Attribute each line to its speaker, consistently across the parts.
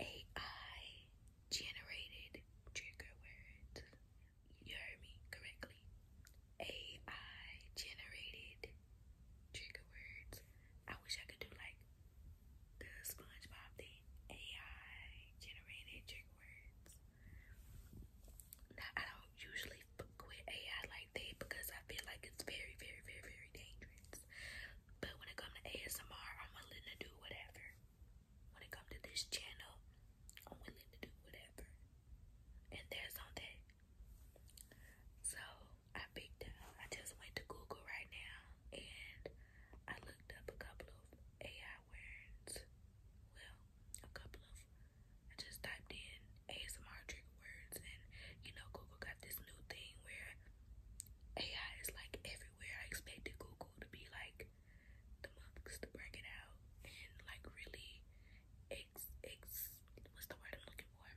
Speaker 1: AI generated trigger words. You heard me correctly. AI generated trigger words. I wish I could do like the SpongeBob thing. AI generated trigger words. I don't usually quit AI like that because I feel like it's very, very, very, very dangerous. But when it comes to ASMR, I'm willing to do whatever. When it comes to this channel, I'm willing to do whatever. And there's on that. So I picked I just went to Google right now and I looked up a couple of AI words. Well, a couple of, I just typed in ASMR trick words and you know, Google got this new thing where AI is like everywhere everywhere. I expected Google to be like the monks to bring it out and like really ex ex what's the word I'm looking for?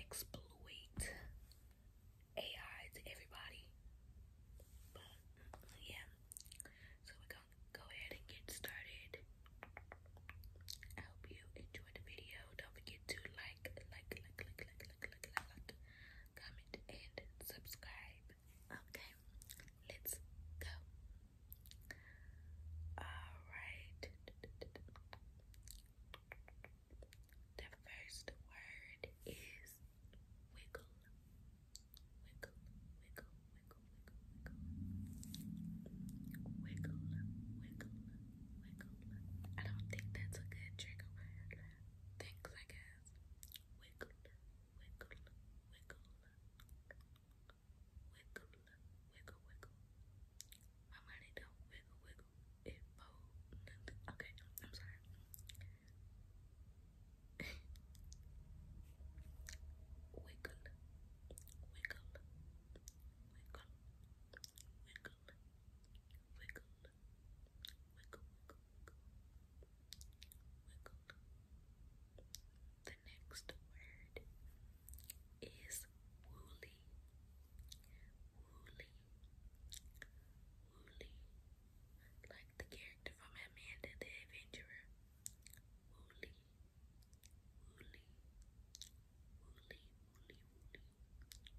Speaker 1: Exploit AI to everybody. But yeah. So we're gonna go ahead and get started. I hope you enjoyed the video. Don't forget to like like, like, like, like, like, like, like, like, comment and subscribe. Okay, let's go. Alright. The first word is wiggle. Wiggle, wiggle, wiggle, wiggle, wiggle. Wiggle, wiggle, wiggle. I don't think that's a good trigger word. Thanks, I guess. Wiggle, wiggle, wiggle, wiggle, wiggle, wiggle. My money don't wiggle, wiggle. It fold. Okay, I'm sorry. wiggle, wiggle, wiggle. Wiggle, wiggle, wiggle, wiggle, wiggle. The next word is woolly, woolly, woolly, like the character from Amanda the Adventurer. woolly, woolly, woolly, woolly, woolly,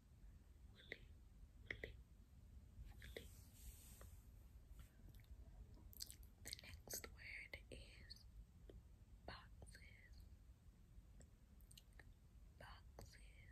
Speaker 1: woolly, The next word is boxes, boxes, boxes, boxes. Boxes,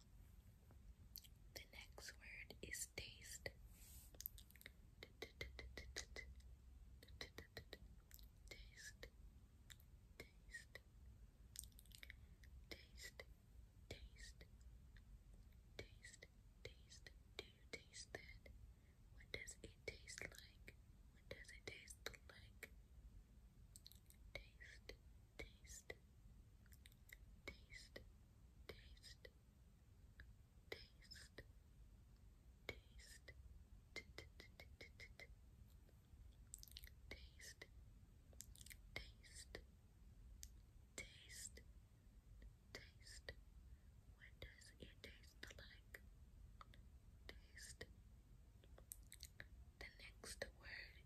Speaker 1: The next word is taste. Taste. Taste. Taste. Taste. Taste. Do you taste that? What does it taste like? What does it taste like? Taste taste, taste, taste, taste, taste, taste, taste, taste, taste. What does it taste like? Taste. The next word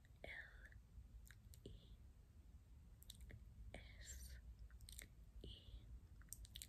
Speaker 1: stubble, stubble, stubble, stubble,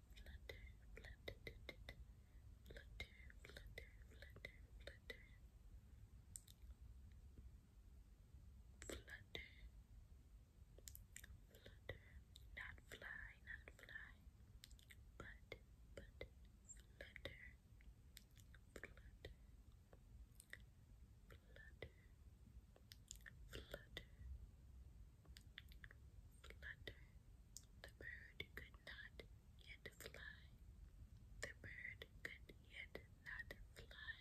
Speaker 1: flutter, flutter, do, do, do. flutter, flutter, flutter, flutter, flutter, flutter, not fly, not fly, but, but, flutter, flutter, flutter, flutter. Flutter, Flutter. The bird could not yet fly. The bird could yet not fly.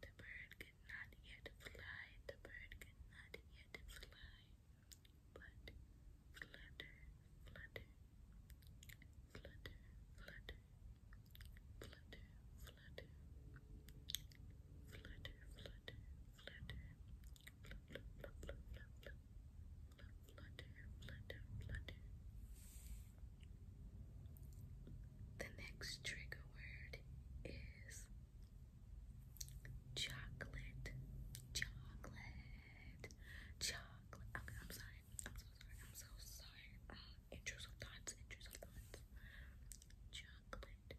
Speaker 1: The bird could not yet fly. The bird could not yet fly. flutter, flutter, flutter, flutter, flutter, flutter, flutter, flutter, flutter, flutter, flutter, flutter, flutter, flutter. The next trigger word is chocolate, chocolate, chocolate. I'm sorry. I'm so sorry. I'm so sorry. Uh, intrusive thoughts, intrusive thoughts. Chocolate,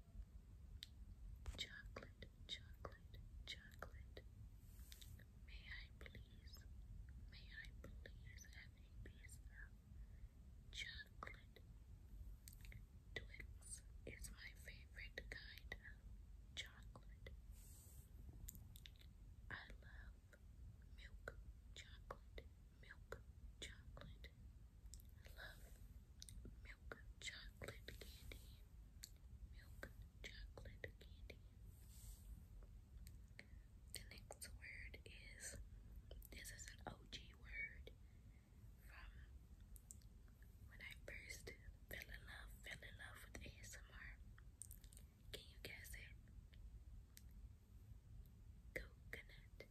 Speaker 1: chocolate, chocolate, chocolate. May I please, may I please have a piece chocolate? Twix is my favorite kind of chocolate. I love milk chocolate, milk chocolate. I love milk chocolate candy, milk chocolate candy. The next word is this is an OG word from when I first fell in love, fell in love with ASMR. Can you guess it? Coconut,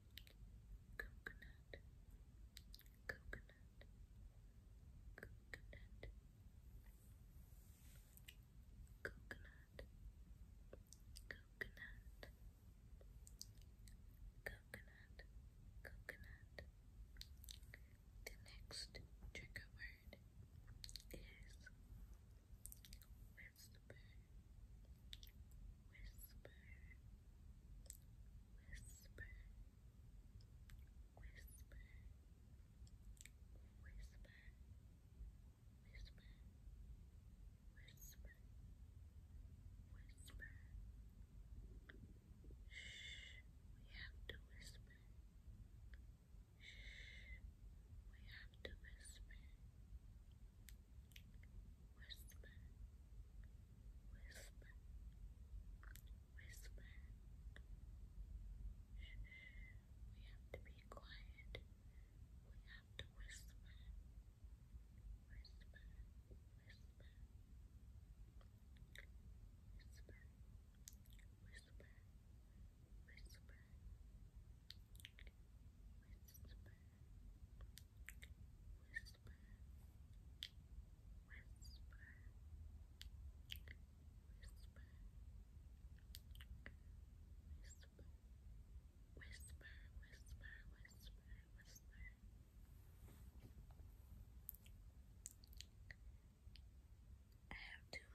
Speaker 1: coconut, coconut, coconut, coconut, coconut, coconut, coconut. The next trigger word is whisper, whisper, whisper, whisper, whisper, whisper, whisper, whisper. Shh, we have to whisper. Shh, we have to whisper. Whisper, whisper, whisper. Shh, we have to be quiet. We have to whisper, whisper, whisper, whisper, whisper, whisper whisper. I have two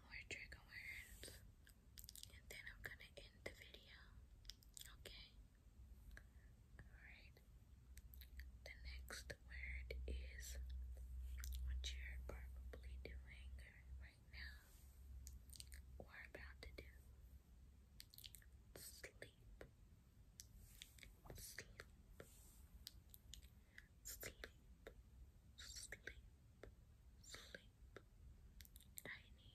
Speaker 1: more trigger words, and then I'm gonna end the video. Okay. Alright. The next word is what you're probably doing right now or about to do. Sleep. Sleep. Sleep. Sleep. Sleep. I need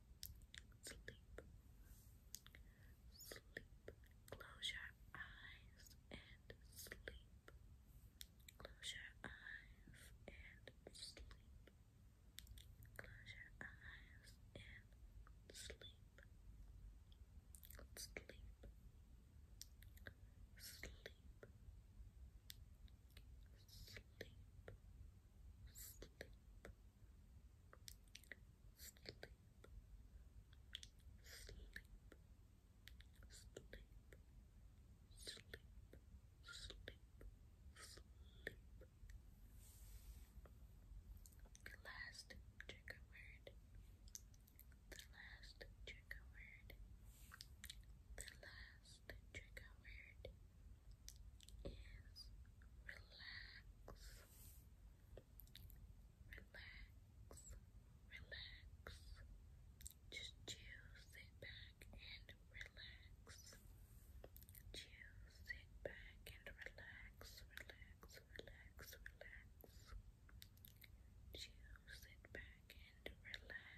Speaker 1: sleep, sleep. Close your eyes and sleep. Close your eyes and sleep. Close your eyes and sleep. Sleep. Sleep. Sleep sleep, sleep, sleep, sleep, sleep, sleep, sleep. The last trigger word. The last trigger word. The last the trigger word is relax, relax, relax. Just chill, sit back and relax. Chill, sit back and relax, relax, relax, relax. Chill, sit back and relax.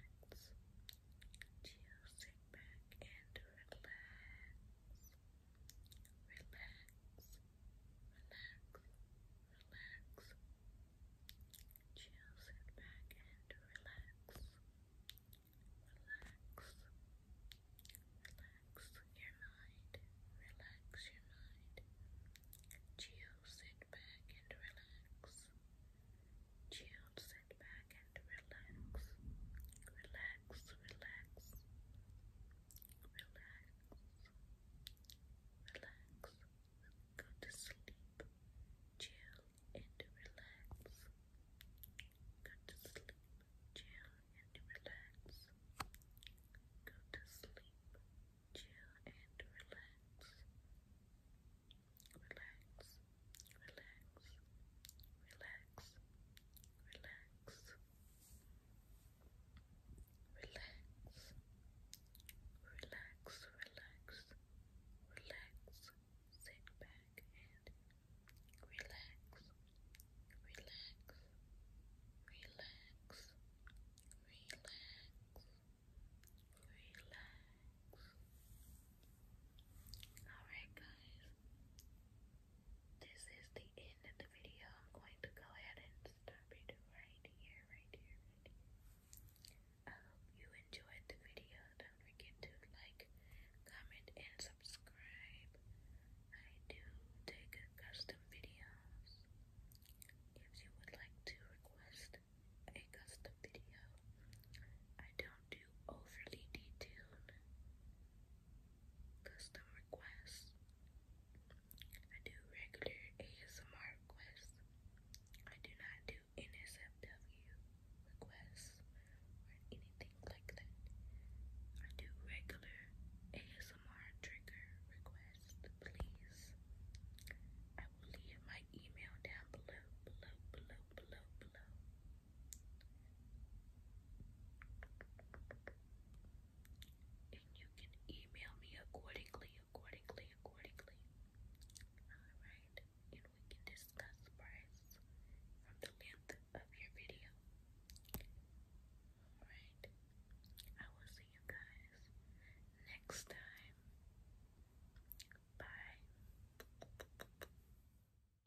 Speaker 1: Chill, sit back and relax relax, relax. Chill, sit back and relax. Relax. Relax your mind. Relax your mind. Chill, sit back and relax. Chill, back and relax. Relax, relax. Relax. Relax. Go to sleep. Chill and relax. Go to sleep. Chill and relax. Go to sleep. Chill and relax. Relax relax, relax, relax, relax, relax, relax, relax, sit back and relax, relax, relax, relax. Relax. Alright, guys this is the end of the video. I'm going to go ahead and stop it right here, right here, I hope you enjoyed the video. Don't forget to like, comment, and subscribe. I do take custom videos. If you would like to request a custom video, I don't do overly detailed custom requests. I do regular ASMR requests. I do not do NSFW requests or anything like that. I do regular ASMR trigger requests, please. I will leave my email down below, below, below, below, below. And you can email me accordingly, accordingly, accordingly. Alright, and we can discuss price from the length of your video. Alright, I will see you guys next time. Bye.